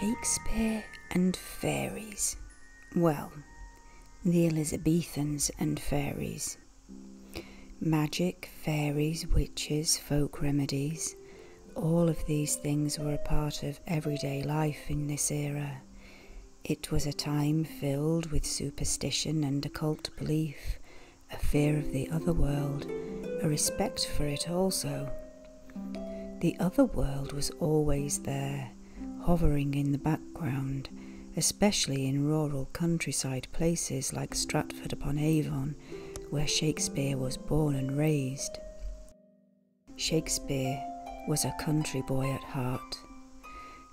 Shakespeare and fairies. Well, the Elizabethans and fairies. Magic, fairies, witches, folk remedies, all of these things were a part of everyday life in this era. It was a time filled with superstition and occult belief, a fear of the other world, a respect for it also. The other world was always there, hovering in the background especially in rural countryside places like Stratford upon Avon, where Shakespeare was born and raised. Shakespeare was a country boy at heart,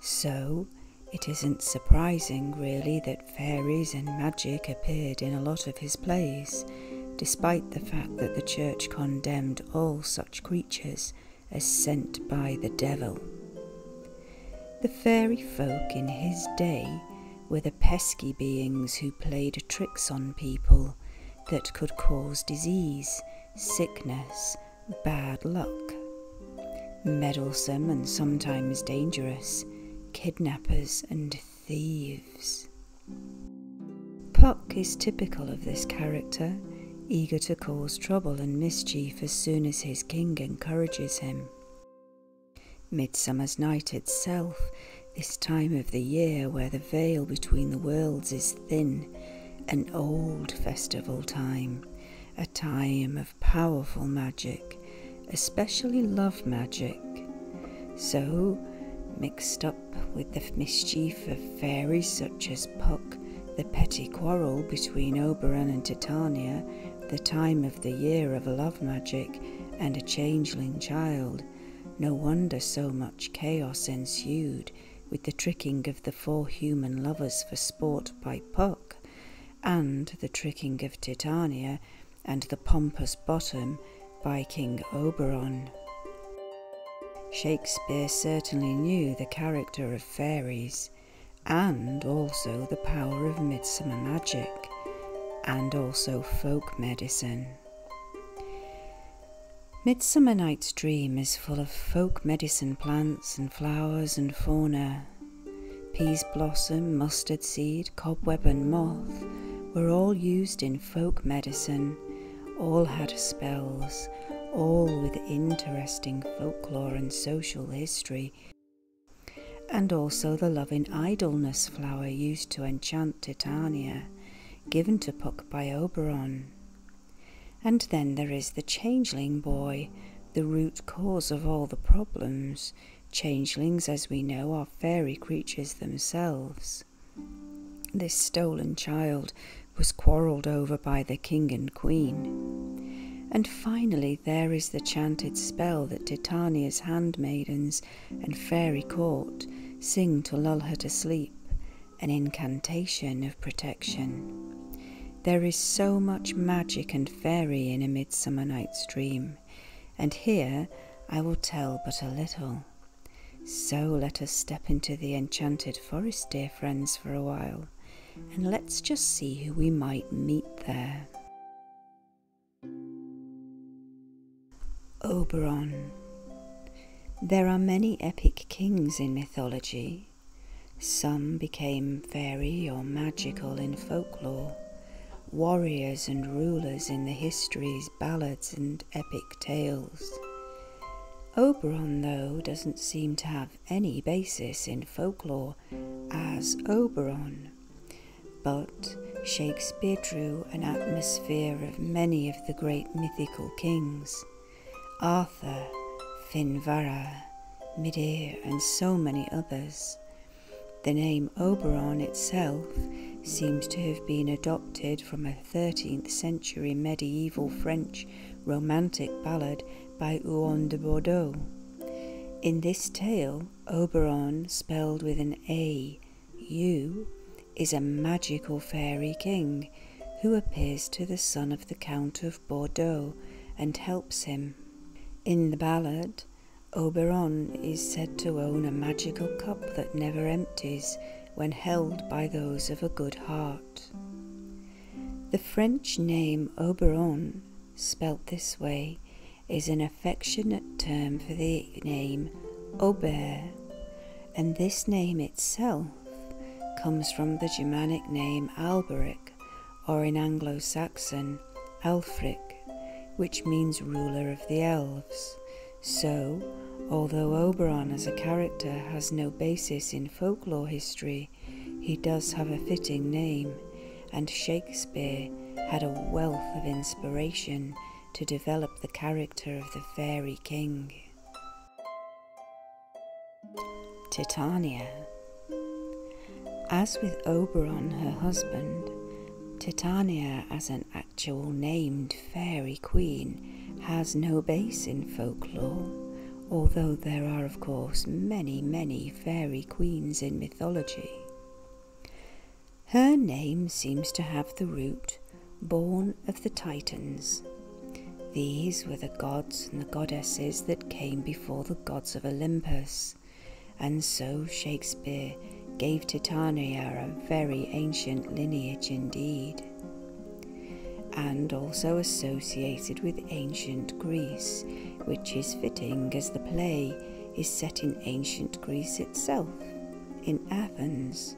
so it isn't surprising really that fairies and magic appeared in a lot of his plays, despite the fact that the church condemned all such creatures as sent by the devil. The fairy folk in his day were the pesky beings who played tricks on people that could cause disease, sickness, bad luck. Meddlesome and sometimes dangerous, kidnappers and thieves. Puck is typical of this character, eager to cause trouble and mischief as soon as his king encourages him. Midsummer's night itself, this time of the year where the veil between the worlds is thin, an old festival time, a time of powerful magic, especially love magic. So, mixed up with the mischief of fairies such as Puck, the petty quarrel between Oberon and Titania the time of the year of love magic and a changeling child, no wonder so much chaos ensued with the tricking of the four human lovers for sport by Puck, and the tricking of Titania and the pompous bottom by King Oberon. Shakespeare certainly knew the character of fairies, and also the power of midsummer magic, and also folk medicine. Midsummer Night's Dream is full of folk medicine plants and flowers and fauna. Peas blossom, mustard seed, cobweb, and moth were all used in folk medicine, all had spells, all with interesting folklore and social history and also the loving idleness flower used to enchant Titania, given to Puck by Oberon. And then there is the changeling boy, the root cause of all the problems. Changelings, as we know, are fairy creatures themselves. This stolen child was quarrelled over by the king and queen. And finally, there is the chanted spell that Titania's handmaidens and fairy court sing to lull her to sleep, an incantation of protection. There is so much magic and fairy in A Midsummer Night's Dream, and here I will tell but a little. So let us step into the enchanted forest, dear friends, for a while, and let's just see who we might meet there. Oberon. There are many epic kings in mythology. Some became fairy or magical in folklore, warriors and rulers in the histories, ballads, and epic tales. Oberon, though, doesn't seem to have any basis in folklore as Oberon, but Shakespeare drew an atmosphere of many of the great mythical kings Arthur, Finvarra, Medea, and so many others. The name Oberon itself seems to have been adopted from a 13th century medieval French romantic ballad by Huon de Bordeaux. In this tale, Oberon, spelled with an A, U, is a magical fairy king who appears to the son of the Count of Bordeaux and helps him. In the ballad, Oberon is said to own a magical cup that never empties when held by those of a good heart. The French name Oberon spelt this way, is an affectionate term for the name Ober, and this name itself comes from the Germanic name Alberic, or in Anglo Saxon, Alfric, which means ruler of the elves. So, although Oberon as a character has no basis in folklore history, he does have a fitting name, and Shakespeare had a wealth of inspiration to develop the character of the fairy king. Titania. As with Oberon, her husband, Titania, as an actual named fairy queen, has no base in folklore, although there are, of course, many, many fairy queens in mythology. Her name seems to have the root born of the Titans. These were the gods and the goddesses that came before the gods of Olympus, and so Shakespeare gave Titania a very ancient lineage indeed, and also associated with ancient Greece which is fitting as the play is set in ancient Greece itself, in Athens.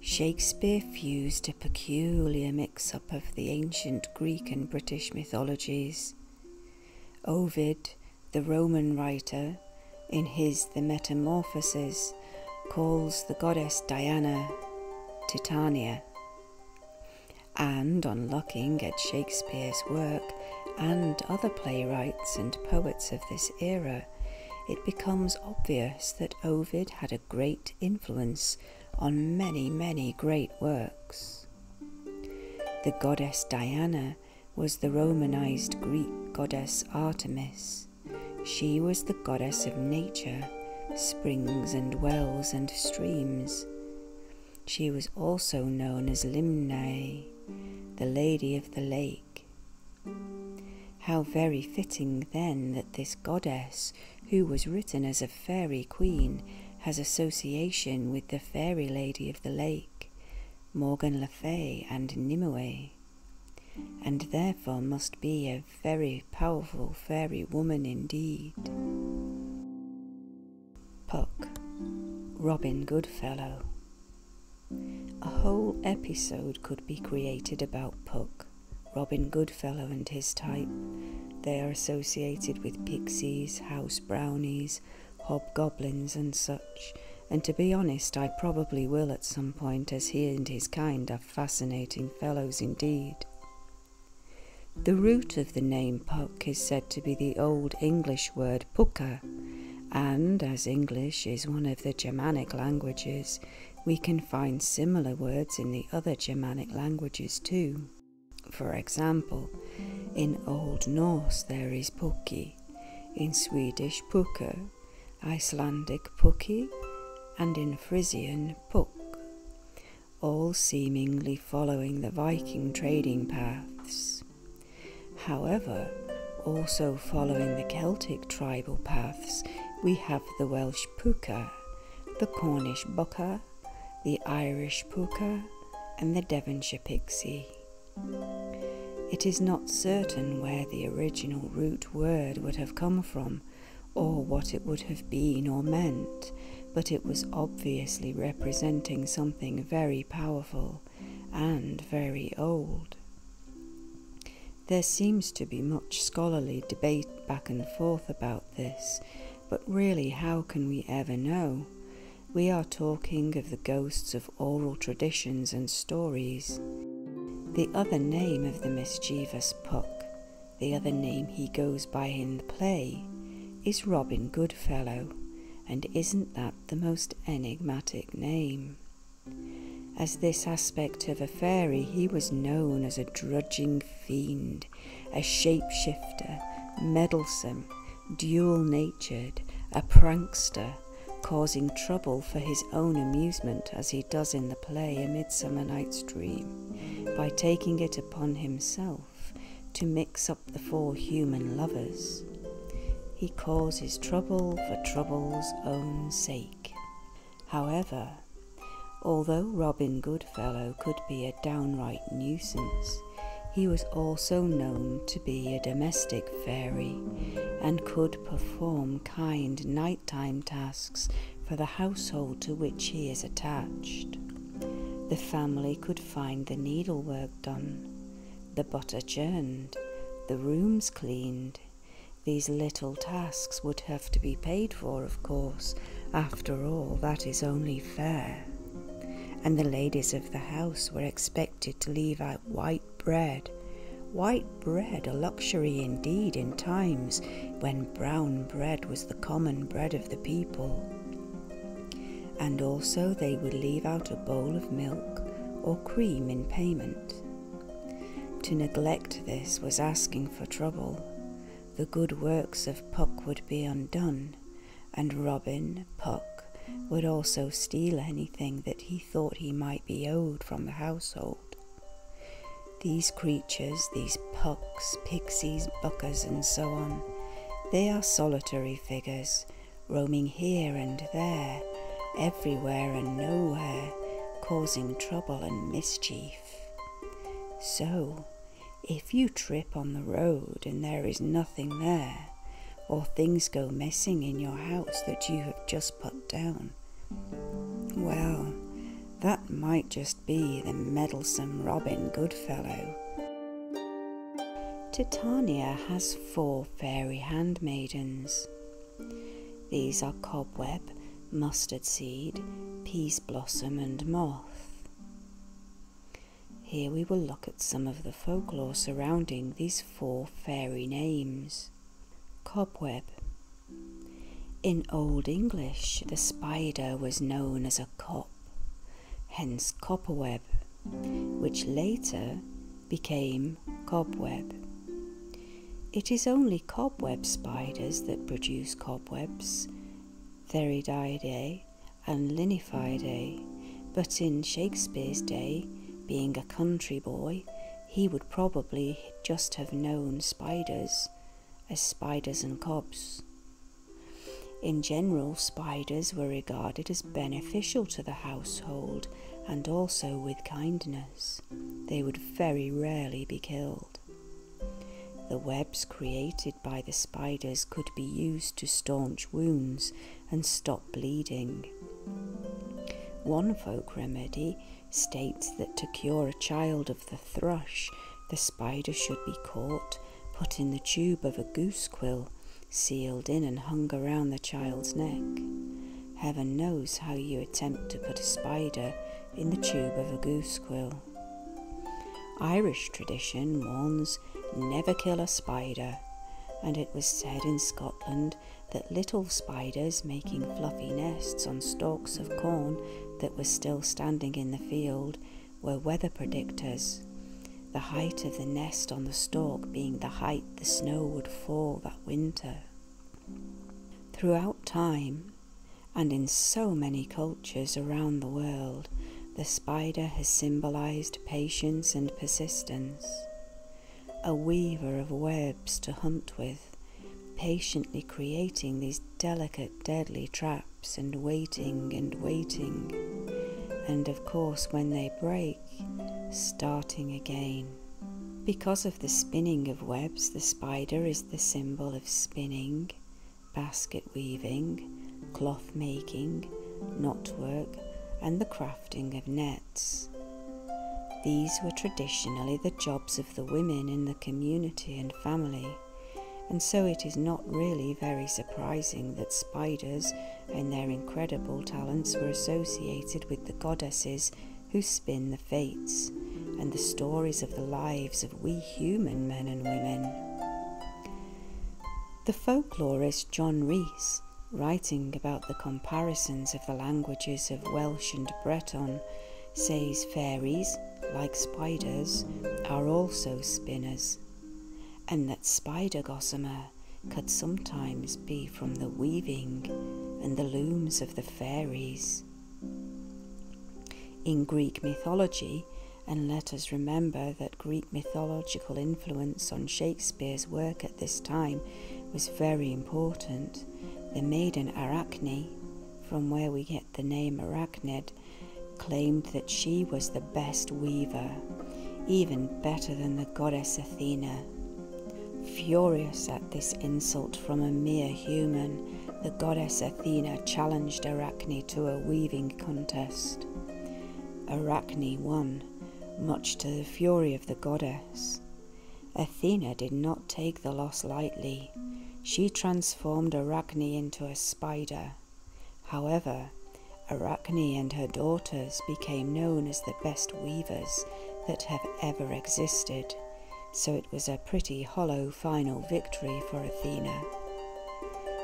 Shakespeare fused a peculiar mix up of the ancient Greek and British mythologies. Ovid, the Roman writer, in his The Metamorphoses, calls the goddess Diana Titania and on looking at Shakespeare's work and other playwrights and poets of this era, it becomes obvious that Ovid had a great influence on many, many great works. The goddess Diana was the Romanized Greek goddess Artemis. She was the goddess of nature, springs and wells and streams, she was also known as Limnae, the Lady of the Lake. How very fitting then that this goddess, who was written as a fairy queen, has association with the fairy lady of the lake, Morgan Le Fay and Nimue, and therefore must be a very powerful fairy woman indeed. Puck, Robin Goodfellow. A whole episode could be created about Puck, Robin Goodfellow, and his type. They are associated with pixies, house brownies, hobgoblins, and such. And to be honest, I probably will at some point, as he and his kind are fascinating fellows indeed. The root of the name Puck is said to be the Old English word pucca, and as English is one of the Germanic languages, we can find similar words in the other Germanic languages too. For example, in Old Norse there is puki, in Swedish puka, Icelandic puki, and in Frisian puk all seemingly following the Viking trading paths. However, also following the Celtic tribal paths, we have the Welsh puka, the Cornish bucca, the Irish Pooka, and the Devonshire pixie. It is not certain where the original root word would have come from, or what it would have been or meant, but it was obviously representing something very powerful and very old. There seems to be much scholarly debate back and forth about this, but really, how can we ever know? We are talking of the ghosts of oral traditions and stories. The other name of the mischievous Puck the other name he goes by in the play is Robin Goodfellow, and isn't that the most enigmatic name? As this aspect of a fairy, he was known as a drudging fiend, a shapeshifter, meddlesome, dual natured, a prankster, causing trouble for his own amusement as he does in the play A Midsummer Night's Dream by taking it upon himself to mix up the four human lovers. He causes trouble for trouble's own sake. However, although Robin Goodfellow could be a downright nuisance, he was also known to be a domestic fairy and could perform kind nighttime tasks for the household to which he is attached. The family could find the needlework done, the butter churned, the rooms cleaned. These little tasks would have to be paid for, of course. After all, that is only fair. And the ladies of the house were expected to leave out white bread. White bread, a luxury indeed in times when brown bread was the common bread of the people. And also they would leave out a bowl of milk or cream in payment. To neglect this was asking for trouble. The good works of Puck would be undone, and Robin, Puck, would also steal anything that he thought he might be owed from the household. These creatures, these pucks, pixies, buckers, and so on, they are solitary figures, roaming here and there, everywhere and nowhere, causing trouble and mischief. So, if you trip on the road and there is nothing there, or things go missing in your house that you have just put down, well, that might just be the meddlesome Robin Goodfellow. Titania has four fairy handmaidens. These are cobweb, mustard seed, peas blossom, and moth. Here we will look at some of the folklore surrounding these four fairy names. Cobweb in Old English, the spider was known as a cop, hence copperweb, which later became cobweb. It is only cobweb spiders that produce cobwebs, Theridiidae and Linifidae, but in Shakespeare's day, being a country boy, he would probably just have known spiders as spiders and cobs. In general, spiders were regarded as beneficial to the household and also with kindness. They would very rarely be killed. The webs created by the spiders could be used to staunch wounds and stop bleeding. One folk remedy states that to cure a child the thrush, the spider should be caught, put in the tube of a goose quill, sealed in and hung around the child's neck. Heaven knows how you attempt to put a spider in the tube of a goose quill. Irish tradition warns never kill a spider, and it was said in Scotland that little spiders making fluffy nests on stalks of corn that were still standing in the field were weather predictors, the height of the nest on the stalk being the height the snow would fall that winter. Throughout time, and in so many cultures around the world, the spider has symbolized patience and persistence. A weaver of webs to hunt with, patiently creating these delicate, deadly traps and waiting and waiting, and of course, when they break, starting again. Because of the spinning of webs, the spider is the symbol of spinning, basket weaving, cloth making, knotwork, and the crafting of nets. These were traditionally the jobs of the women in the community and family, and so it is not really very surprising that spiders and their incredible talents were associated with the goddesses who spin the fates and the stories of the lives of we human men and women. The folklorist John Rees, writing about the comparisons of the languages of Welsh and Breton, says fairies, like spiders, are also spinners, and that spider gossamer could sometimes be from the weaving and the looms of the fairies. In Greek mythology, and let us remember that Greek mythological influence on Shakespeare's work at this time was very important. The maiden Arachne, from where we get the name arachnid, claimed that she was the best weaver, even better than the goddess Athena. Furious at this insult from a mere human, the goddess Athena challenged Arachne to a weaving contest. Arachne won, much to the fury of the goddess. Athena did not take the loss lightly. She transformed Arachne into a spider. However, Arachne and her daughters became known as the best weavers that have ever existed, so it was a pretty hollow final victory for Athena.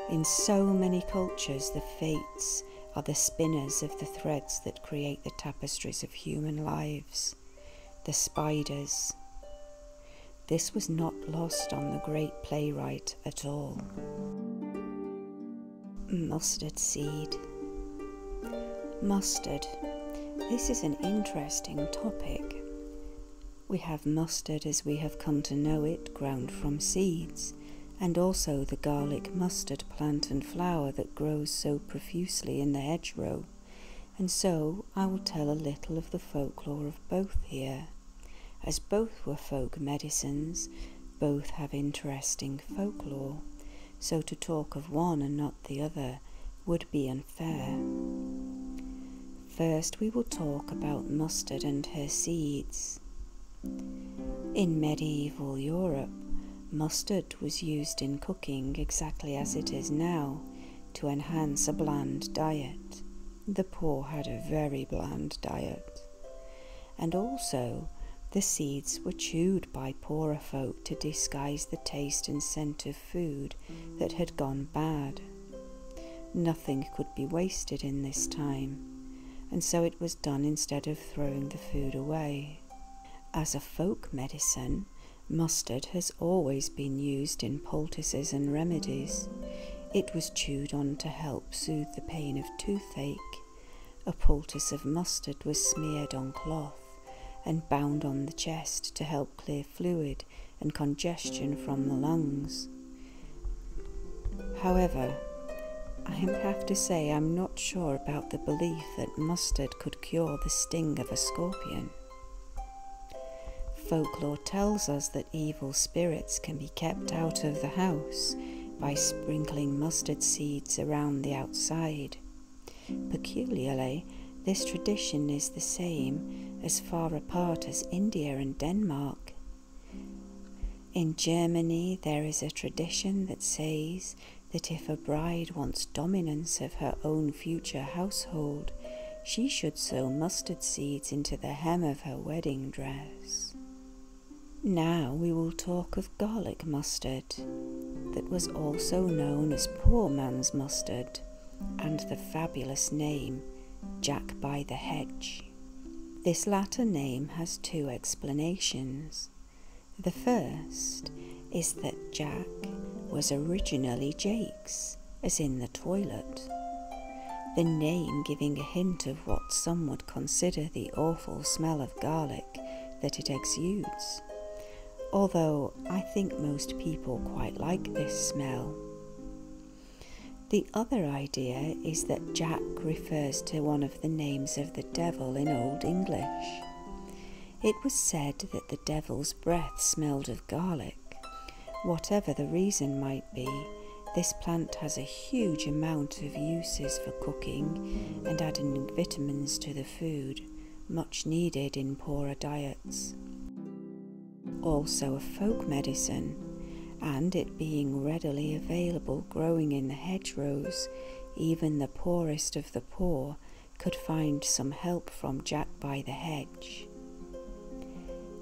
In so many cultures, the Fates are the spinners of the threads that create the tapestries of human lives, the spiders. This was not lost on the great playwright at all. Mustard seed. Mustard. This is an interesting topic. We have mustard as we have come to know it, ground from seeds, and also the garlic mustard plant and flower that grows so profusely in the hedgerow and so I will tell a little of the folklore of both here, as both were folk medicines, both have interesting folklore, so to talk of one and not the other would be unfair. First, we will talk about mustard and her seeds. In medieval Europe, mustard was used in cooking exactly as it is now to enhance a bland diet. The poor had a very bland diet, and also the seeds were chewed by poorer folk to disguise the taste and scent of food that had gone bad. Nothing could be wasted in this time, and so it was done instead of throwing the food away. As a folk medicine, mustard has always been used in poultices and remedies. It was chewed on to help soothe the pain of toothache. A poultice of mustard was smeared on cloth and bound on the chest to help clear fluid and congestion from the lungs. However, I have to say I'm not sure about the belief that mustard could cure the sting of a scorpion. Folklore tells us that evil spirits can be kept out of the house by sprinkling mustard seeds around the outside. Peculiarly, this tradition is the same as far apart as India and Denmark. In Germany, there is a tradition that says that if a bride wants dominance of her own future household, she should sow mustard seeds into the hem of her wedding dress. Now we will talk of garlic mustard, that was also known as poor man's mustard, and the fabulous name Jack by the Hedge. This latter name has two explanations. The first is that Jack was originally Jake, as in the toilet. The name giving a hint of what some would consider the awful smell of garlic that it exudes, although I think most people quite like this smell. The other idea is that Jack refers to one of the names of the devil in Old English. It was said that the devil's breath smelled of garlic Whatever the reason might be, this plant has a huge amount of uses for cooking and adding vitamins to the food, much needed in poorer diets. Also a folk medicine, and it being readily available growing in the hedgerows, even the poorest of the poor could find some help from Jack by the hedge.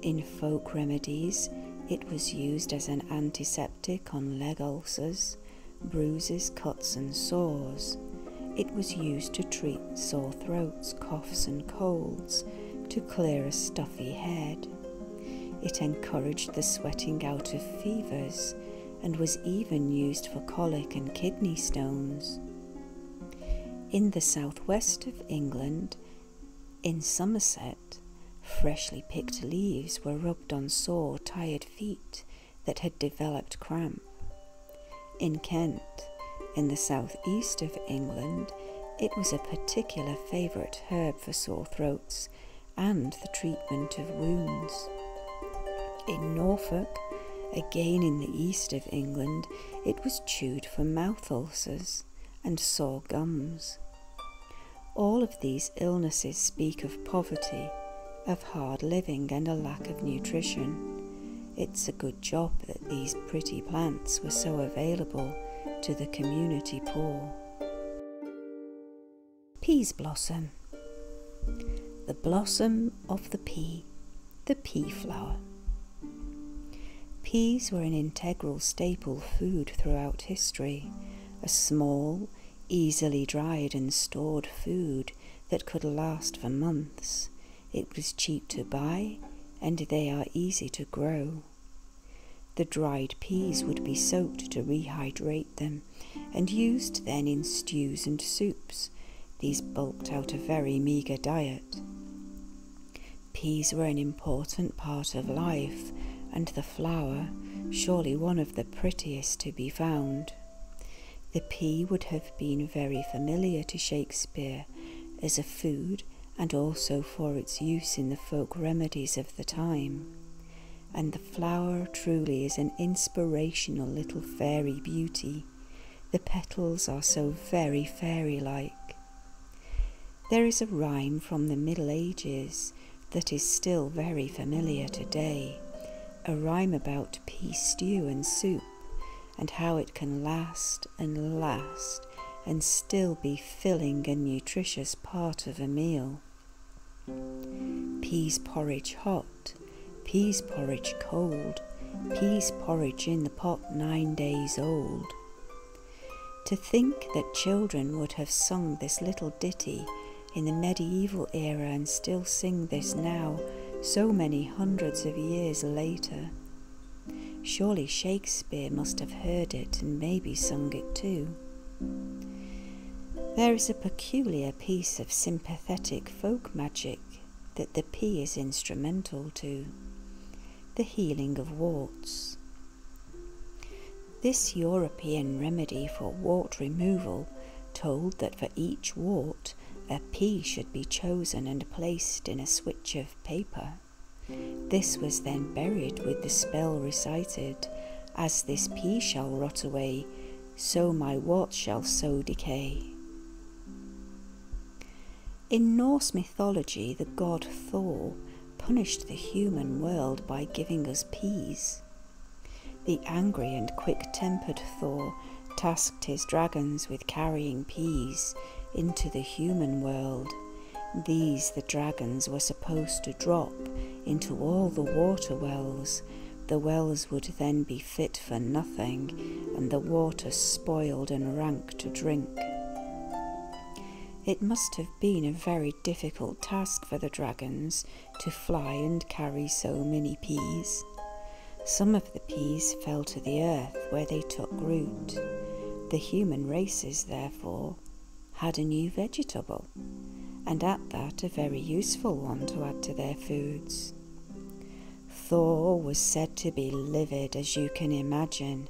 In folk remedies, it was used as an antiseptic on leg ulcers, bruises, cuts, and sores. It was used to treat sore throats, coughs, and colds, to clear a stuffy head. It encouraged the sweating out of fevers and was even used for colic and kidney stones. In the southwest of England, in Somerset, freshly picked leaves were rubbed on sore, tired feet that had developed cramp. In Kent, in the south east of England, it was a particular favourite herb for sore throats and the treatment of wounds. In Norfolk, again in the east of England, it was chewed for mouth ulcers and sore gums. All of these illnesses speak of poverty, of hard living, and a lack of nutrition. It's a good job that these pretty plants were so available to the community poor. Peas blossom. The blossom of the pea the pea flower. Peas were an integral staple food throughout history, a small, easily dried and stored food that could last for months. It was cheap to buy and they are easy to grow. The dried peas would be soaked to rehydrate them and used then in stews and soups. These bulked out a very meagre diet. Peas were an important part of life, and the flower, surely one of the prettiest to be found. The pea would have been very familiar to Shakespeare as a food and also for its use in the folk remedies of the time. And the flower truly is an inspirational little fairy beauty the petals are so very fairy like. There is a rhyme from the Middle Ages that is still very familiar today, a rhyme about pea stew and soup, and how it can last and last and still be filling and nutritious part of a meal. Peas porridge hot, peas porridge cold, peas porridge in the pot nine days old, to think that children would have sung this little ditty in the medieval era and still sing this now, so many hundreds of years later. Surely Shakespeare must have heard it and maybe sung it too. There is a peculiar piece of sympathetic folk magic that the P is instrumental to the healing of warts. This European remedy for wart removal told that for each wart a pea should be chosen and placed in a switch of paper. This was then buried with the spell recited, As this pea shall rot away, so my wart shall so decay. In Norse mythology, the god Thor punished the human world by giving us peas. The angry and quick tempered Thor tasked his dragons with carrying peas into the human world. These the dragons were supposed to drop into all the water wells. The wells would then be fit for nothing, and the water spoiled and rank to drink. It must have been a very difficult task for the dragons to fly and carry so many peas. Some of the peas fell to the earth where they took root. The human races, therefore, had a new vegetable, and at that a very useful one to add to their foods. Thor was said to be livid, as you can imagine.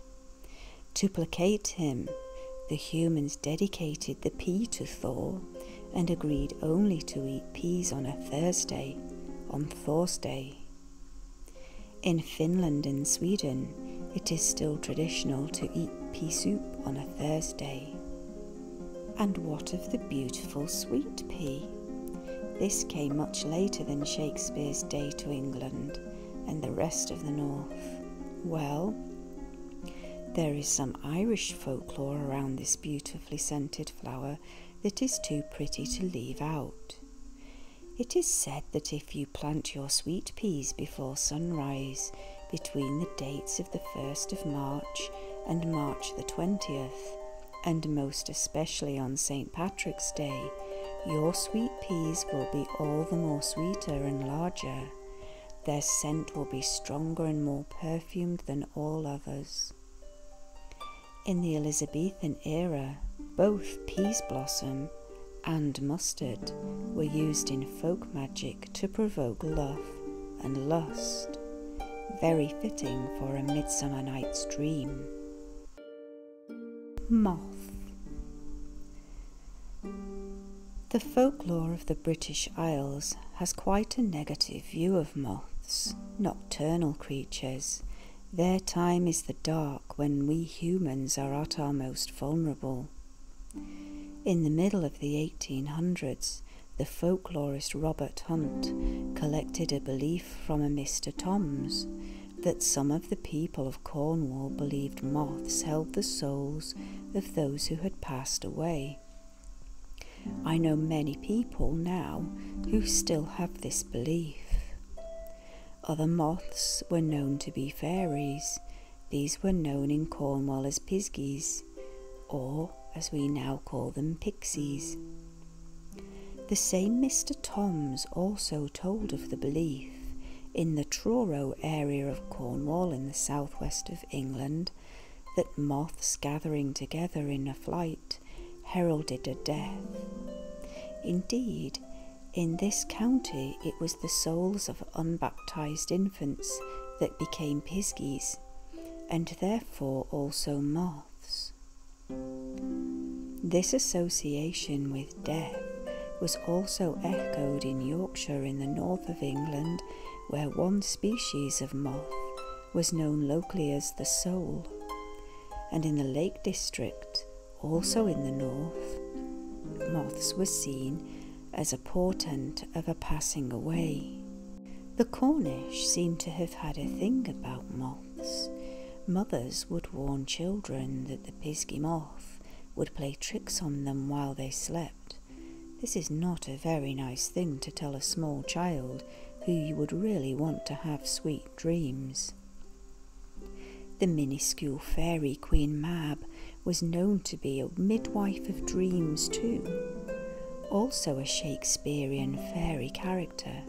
To placate him, the humans dedicated the pea to Thor and agreed only to eat peas on a Thursday, on Thor's Day. In Finland and Sweden, it is still traditional to eat pea soup on a Thursday. And what of the beautiful sweet pea? This came much later than Shakespeare's day to England and the rest of the North. Well, there is some Irish folklore around this beautifully scented flower that is too pretty to leave out. It is said that if you plant your sweet peas before sunrise, between the dates of the 1st of March and March the 20th, and most especially on St. Patrick's Day, your sweet peas will be all the more sweeter and larger. Their scent will be stronger and more perfumed than all others. In the Elizabethan era, both peas blossom and mustard were used in folk magic to provoke love and lust, very fitting for a Midsummer Night's Dream. Moth. The folklore of the British Isles has quite a negative view of moths, nocturnal creatures. Their time is the dark when we humans are at our most vulnerable. In the middle of the 1800s, the folklorist Robert Hunt collected a belief from a Mr. Toms that some of the people of Cornwall believed moths held the souls of those who had passed away. I know many people now who still have this belief. Other moths were known to be fairies. These were known in Cornwall as pisgies, or as we now call them, pixies. The same Mr. Toms also told of the belief in the Truro area of Cornwall in the southwest of England that moths gathering together in a flight heralded a death. Indeed, in this county it was the souls of unbaptized infants that became piskies, and therefore also moths. This association with death was also echoed in Yorkshire in the north of England, where one species of moth was known locally as the soul, and in the Lake District, also in the north, moths were seen as a portent of a passing away. The Cornish seem to have had a thing about moths Mothers would warn children that the pisky moth would play tricks on them while they slept. This is not a very nice thing to tell a small child who you would really want to have sweet dreams. The minuscule fairy Queen Mab was known to be a midwife of dreams too, also a Shakespearean fairy character.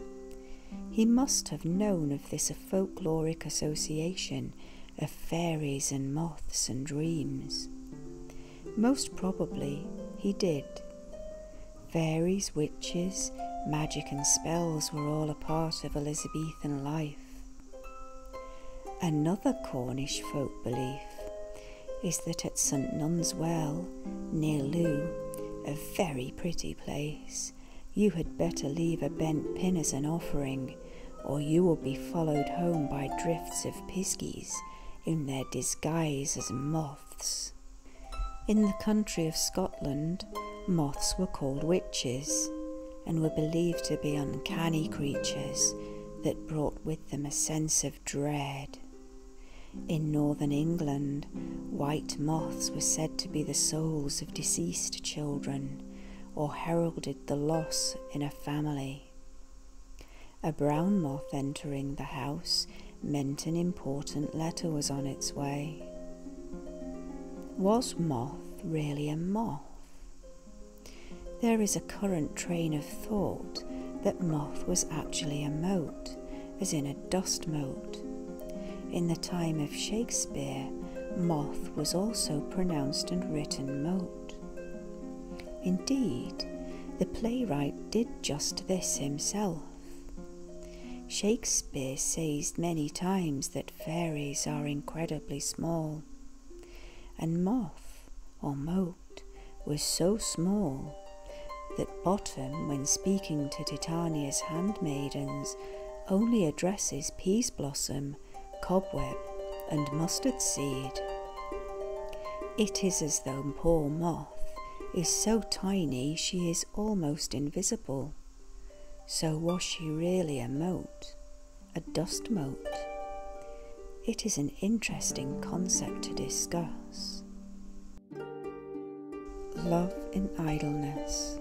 He must have known of this folkloric association of fairies and moths and dreams. Most probably he did. Fairies, witches, magic, and spells were all a part of Elizabethan life. Another Cornish folk belief is that at St Nun's Well, near Loo, a very pretty place, you had better leave a bent pin as an offering, or you will be followed home by drifts of piskies in their disguise as moths. In the country of Scotland, moths were called witches and were believed to be uncanny creatures that brought with them a sense of dread. In northern England, White moths were said to be the souls of deceased children or heralded the loss in a family. A brown moth entering the house meant an important letter was on its way. Was moth really a moth? There is a current train of thought that moth was actually a mote, as in a dust mote. In the time of Shakespeare, moth was also pronounced and written mote. Indeed, the playwright did just this himself. Shakespeare says many times that fairies are incredibly small, and moth or mote was so small that Bottom, when speaking to Titania's handmaidens only addresses peas blossom, cobweb, and mustard seed. It is as though poor moth is so tiny she is almost invisible. So was she really a mote, a dust mote? It is an interesting concept to discuss. Love in Idleness.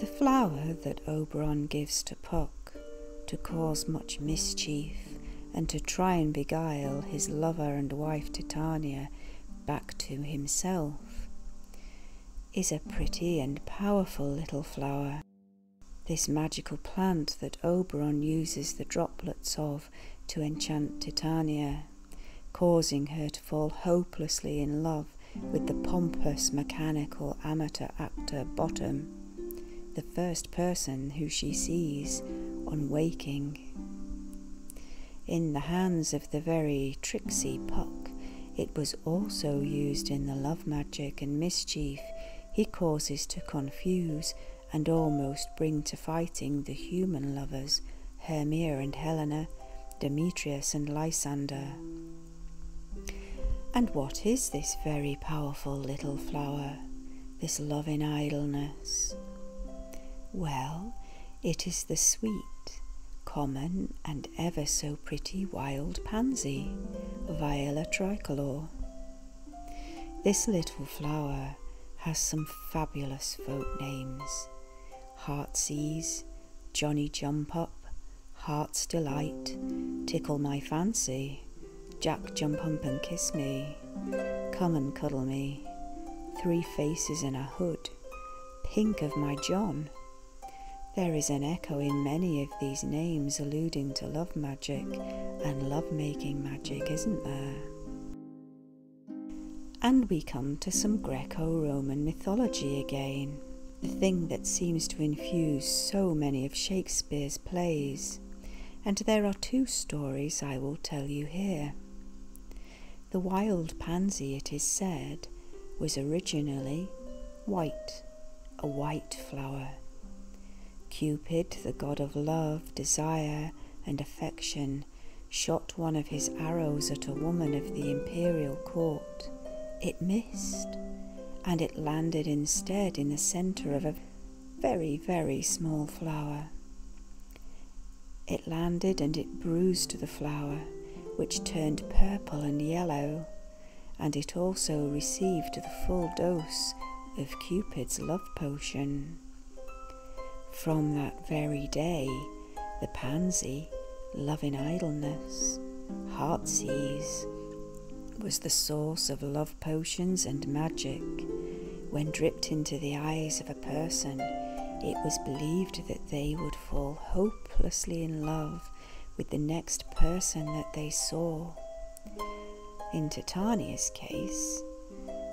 The flower that Oberon gives to Puck to cause much mischief and to try and beguile his lover and wife Titania back to himself is a pretty and powerful little flower. This magical plant that Oberon uses the droplets of to enchant Titania, causing her to fall hopelessly in love with the pompous mechanical amateur actor Bottom, the first person who she sees on waking. In the hands of the very tricksy Puck, it was also used in the love magic and mischief he causes to confuse and almost bring to fighting the human lovers, Hermia and Helena, Demetrius and Lysander. And what is this very powerful little flower, this love in idleness? Well, it is the sweet, common, and ever so pretty wild pansy, Viola tricolor. This little flower has some fabulous folk names, Heartsease, Johnny Jump Up, Heart's Delight, Tickle My Fancy, Jack Jump Up and Kiss Me, Come and Cuddle Me, Three Faces in a Hood, Pink of My John. There is an echo in many of these names alluding to love magic and love making magic, isn't there? And we come to some Greco Roman mythology again, the thing that seems to infuse so many of Shakespeare's plays, and there are two stories I will tell you here. The wild pansy, it is said, was originally white, a white flower. Cupid, the god of love, desire, and affection, shot one of his arrows at a woman of the imperial court. It missed, and it landed instead in the centre of a very, very small flower. It landed and it bruised the flower, which turned purple and yellow, and it also received the full dose of Cupid's love potion. From that very day, the pansy, loving idleness, heartsease, was the source of love potions and magic. When dripped into the eyes of a person, it was believed that they would fall hopelessly in love with the next person that they saw. In Titania's case,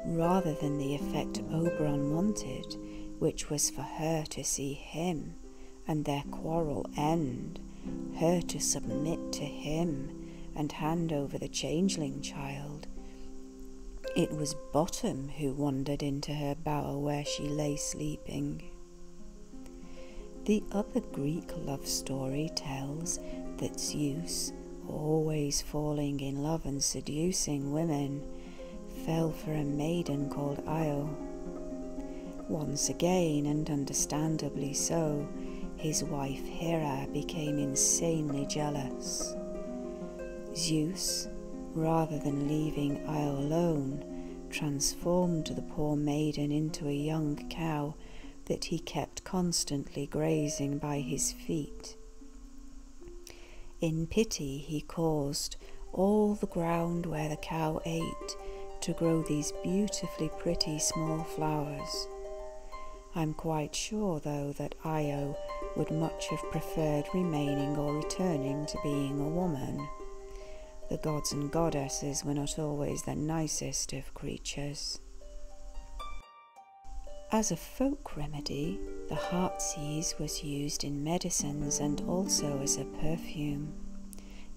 rather than the effect Oberon wanted, which was for her to see him and their quarrel end, her to submit to him and hand over the changeling child. It was Bottom who wandered into her bower where she lay sleeping. The other Greek love story tells that Zeus, always falling in love and seducing women, fell for a maiden called Io. Once again, and understandably so, his wife Hera became insanely jealous. Zeus, rather than leaving Io alone, transformed the poor maiden into a young cow that he kept constantly grazing by his feet. In pity, he caused all the ground where the cow ate to grow these beautifully pretty small flowers. I'm quite sure, though, that Io would much have preferred remaining or returning to being a woman. The gods and goddesses were not always the nicest of creatures. As a folk remedy, the heartsease was used in medicines and also as a perfume.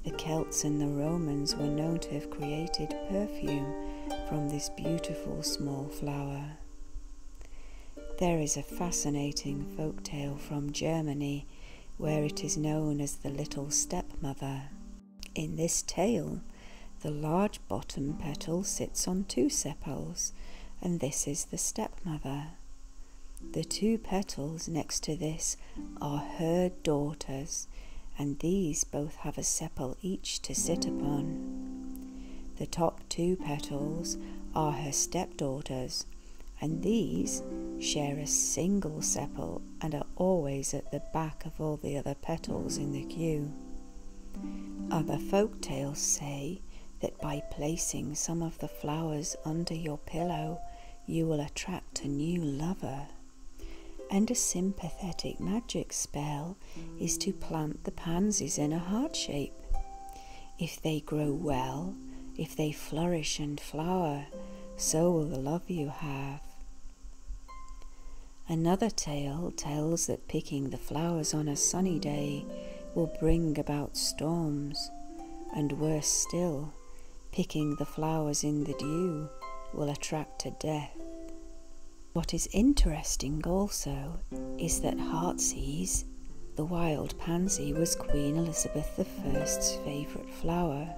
The Celts and the Romans were known to have created perfume from this beautiful small flower. There is a fascinating folk tale from Germany where it is known as the Little Stepmother. In this tale, the large bottom petal sits on two sepals, and this is the stepmother. The two petals next to this are her daughters, and these both have a sepal each to sit upon. The top two petals are her stepdaughters, and these share a single sepal and are always at the back of all the other petals in the queue. Other folk tales say that by placing some of the flowers under your pillow, you will attract a new lover. And a sympathetic magic spell is to plant the pansies in a heart shape. If they grow well, if they flourish and flower, so will the love you have. Another tale tells that picking the flowers on a sunny day will bring about storms, and worse still, picking the flowers in the dew will attract to death. What is interesting also is that Heartsease, the wild pansy, was Queen Elizabeth I's favourite flower,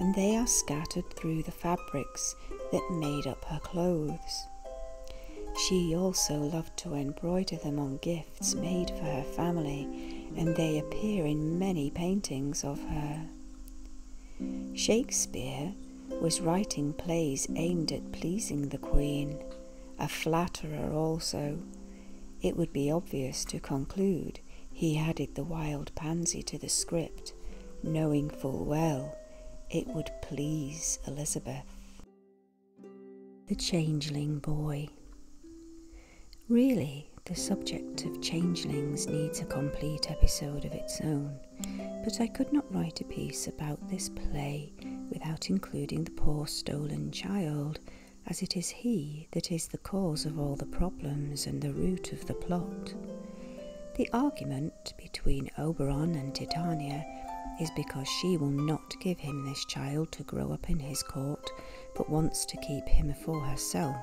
and they are scattered through the fabrics that made up her clothes. She also loved to embroider them on gifts made for her family, and they appear in many paintings of her. Shakespeare was writing plays aimed at pleasing the Queen, a flatterer also. It would be obvious to conclude he added the wild pansy to the script, knowing full well it would please Elizabeth. The Changeling Boy. Really, the subject of changelings needs a complete episode of its own, but I could not write a piece about this play without including the poor stolen child, as it is he that is the cause of all the problems and the root of the plot. The argument between Oberon and Titania is because she will not give him this child to grow up in his court, but wants to keep him for herself.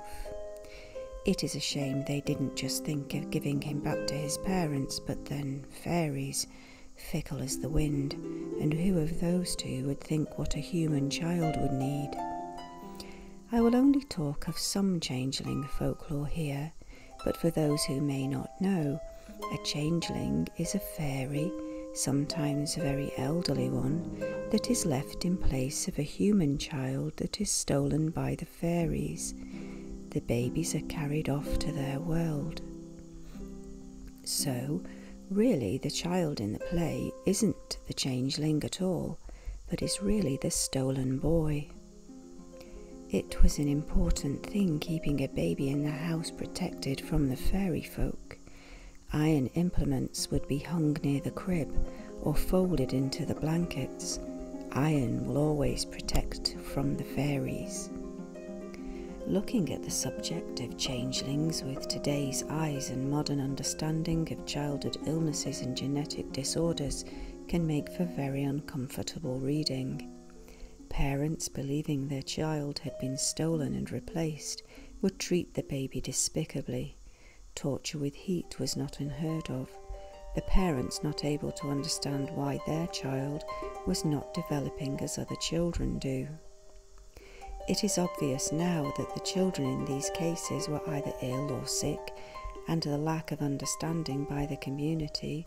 It is a shame they didn't just think of giving him back to his parents, but then fairies, fickle as the wind, and who of those two would think what a human child would need? I will only talk of some changeling folklore here, but for those who may not know, a changeling is a fairy, sometimes a very elderly one, that is left in place of a human child that is stolen by the fairies. The babies are carried off to their world. So, really, the child in the play isn't the changeling at all, but is really the stolen boy. It was an important thing keeping a baby in the house protected from the fairy folk. Iron implements would be hung near the crib or folded into the blankets. Iron will always protect from the fairies. Looking at the subject of changelings with today's eyes and modern understanding of childhood illnesses and genetic disorders can make for very uncomfortable reading. Parents, believing their child had been stolen and replaced, would treat the baby despicably. Torture with heat was not unheard of, the parents not able to understand why their child was not developing as other children do. It is obvious now that the children in these cases were either ill or sick, and the lack of understanding by the community,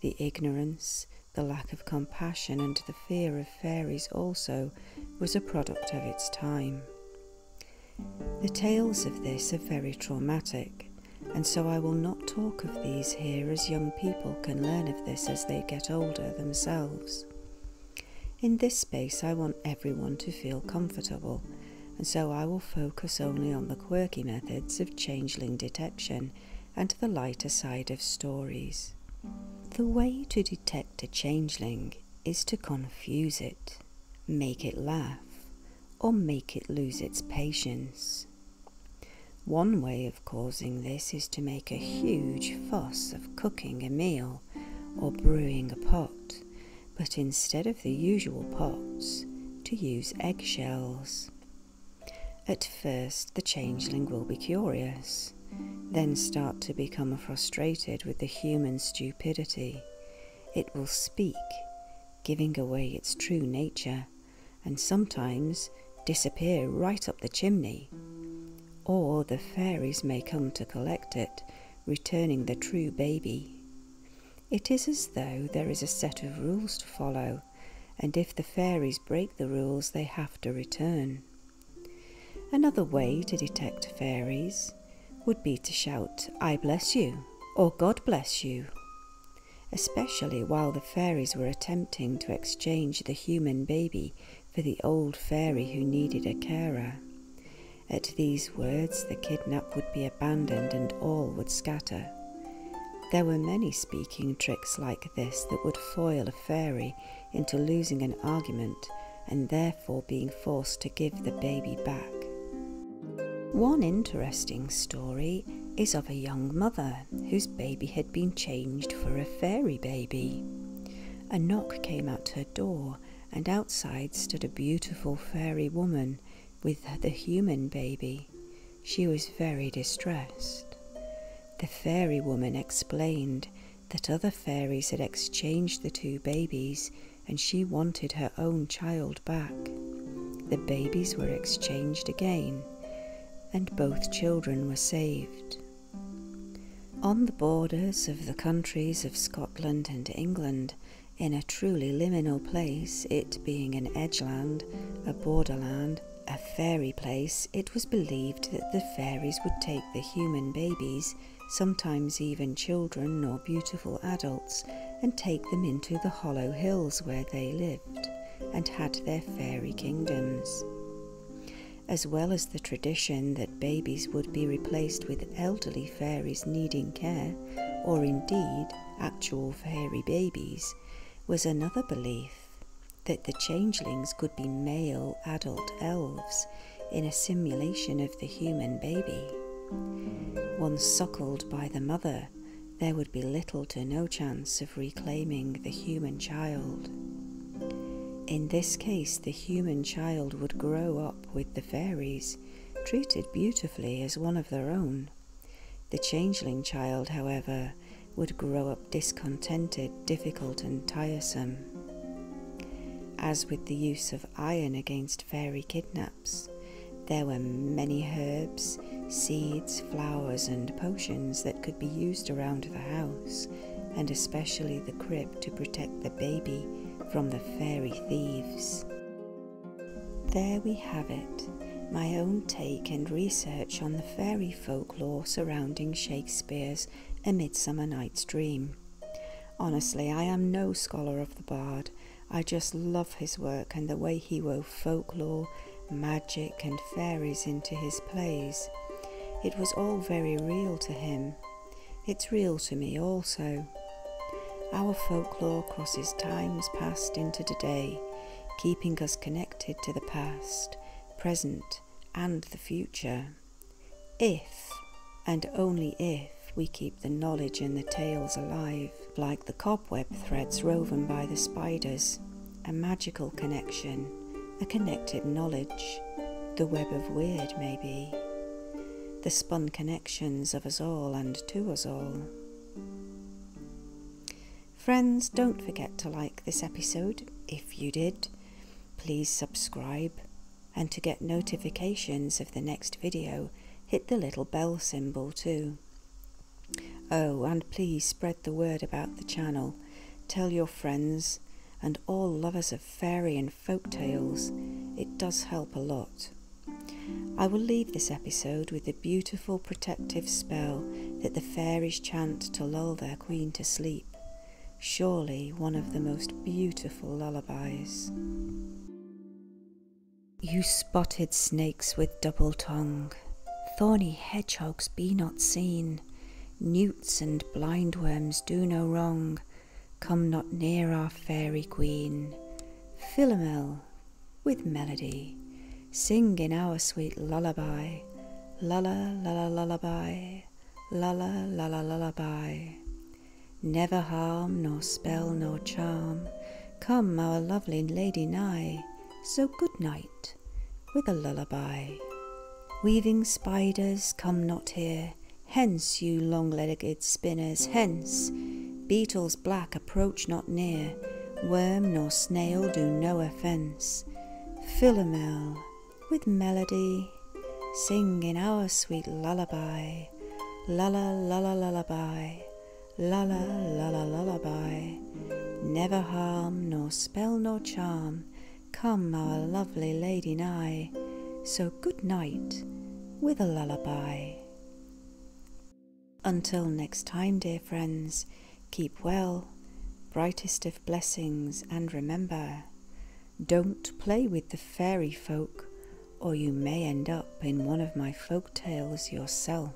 the ignorance, the lack of compassion and the fear of fairies also was a product of its time. The tales of this are very traumatic, and so I will not talk of these here as young people can learn of this as they get older themselves. In this space, I want everyone to feel comfortable, and so I will focus only on the quirky methods of changeling detection and to the lighter side of stories. The way to detect a changeling is to confuse it, make it laugh, or make it lose its patience. One way of causing this is to make a huge fuss of cooking a meal or brewing a pot, but instead of the usual pots, to use eggshells. At first, the changeling will be curious, then start to become frustrated with the human stupidity. It will speak, giving away its true nature, and sometimes disappear right up the chimney. Or the fairies may come to collect it, returning the true baby. It is as though there is a set of rules to follow and if the fairies break the rules, they have to return. Another way to detect fairies would be to shout, I bless you, or God bless you, especially while the fairies were attempting to exchange the human baby for the old fairy who needed a carer. At these words, the kidnap would be abandoned and all would scatter. There were many speaking tricks like this that would foil a fairy into losing an argument and therefore being forced to give the baby back. One interesting story is of a young mother whose baby had been changed for a fairy baby. A knock came at her door, and outside stood a beautiful fairy woman with the human baby. She was very distressed. The fairy woman explained that other fairies had exchanged the two babies and she wanted her own child back. The babies were exchanged again, and both children were saved. On the borders of the countries of Scotland and England, in a truly liminal place, it being an edgeland, a borderland, a fairy place, it was believed that the fairies would take the human babies, sometimes even children or beautiful adults, and take them into the hollow hills where they lived and had their fairy kingdoms. As well as the tradition that babies would be replaced with elderly fairies needing care, or indeed actual fairy babies, was another belief that the changelings could be male adult elves in a simulation of the human baby. Once suckled by the mother, there would be little to no chance of reclaiming the human child. In this case, the human child would grow up with the fairies, treated beautifully as one of their own. The changeling child, however, would grow up discontented, difficult, and tiresome. As with the use of iron against fairy kidnaps, there were many herbs, seeds, flowers, and potions that could be used around the house, and especially the crib to protect the baby from the fairy thieves. There we have it, my own take and research on the fairy folk folklore surrounding Shakespeare's A Midsummer Night's Dream. Honestly, I am no scholar of the bard. I just love his work and the way he wove folklore, magic, and fairies into his plays. It was all very real to him. It's real to me also. Our folklore crosses times past into today, keeping us connected to the past present, and the future, if and only if we keep the knowledge and the tales alive, like the cobweb threads woven by the spiders, a magical connection, a connected knowledge, the web of weird maybe, the spun connections of us all and to us all. Friends, don't forget to like this episode. If you did, please subscribe. And to get notifications of the next video, hit the little bell symbol too. Oh, and please spread the word about the channel. Tell your friends and all lovers of fairy and folk tales. It does help a lot. I will leave this episode with the beautiful protective spell that the fairies chant to lull their queen to sleep, surely one of the most beautiful lullabies. You spotted snakes with double tongue, thorny hedgehogs be not seen, newts and blindworms do no wrong, come not near our fairy queen. Philomel with melody, Sing in our sweet lullaby, lulla, lulla, lullaby, lulla, lulla, lullaby. Never harm, nor spell, nor charm, come our lovely lady nigh, so good night, with a lullaby. Weaving spiders, come not here, hence, you long legged spinners, hence, beetles black approach not near, worm nor snail do no offence. Philomel with melody, sing in our sweet lullaby, lulla lulla lullaby, lulla lulla lullaby. Never harm, nor spell nor charm, come our lovely lady nigh, so good night with a lullaby. Until next time, dear friends, Keep well, brightest of blessings, and remember don't play with the fairy folk, or you may end up in one of my folk tales yourself.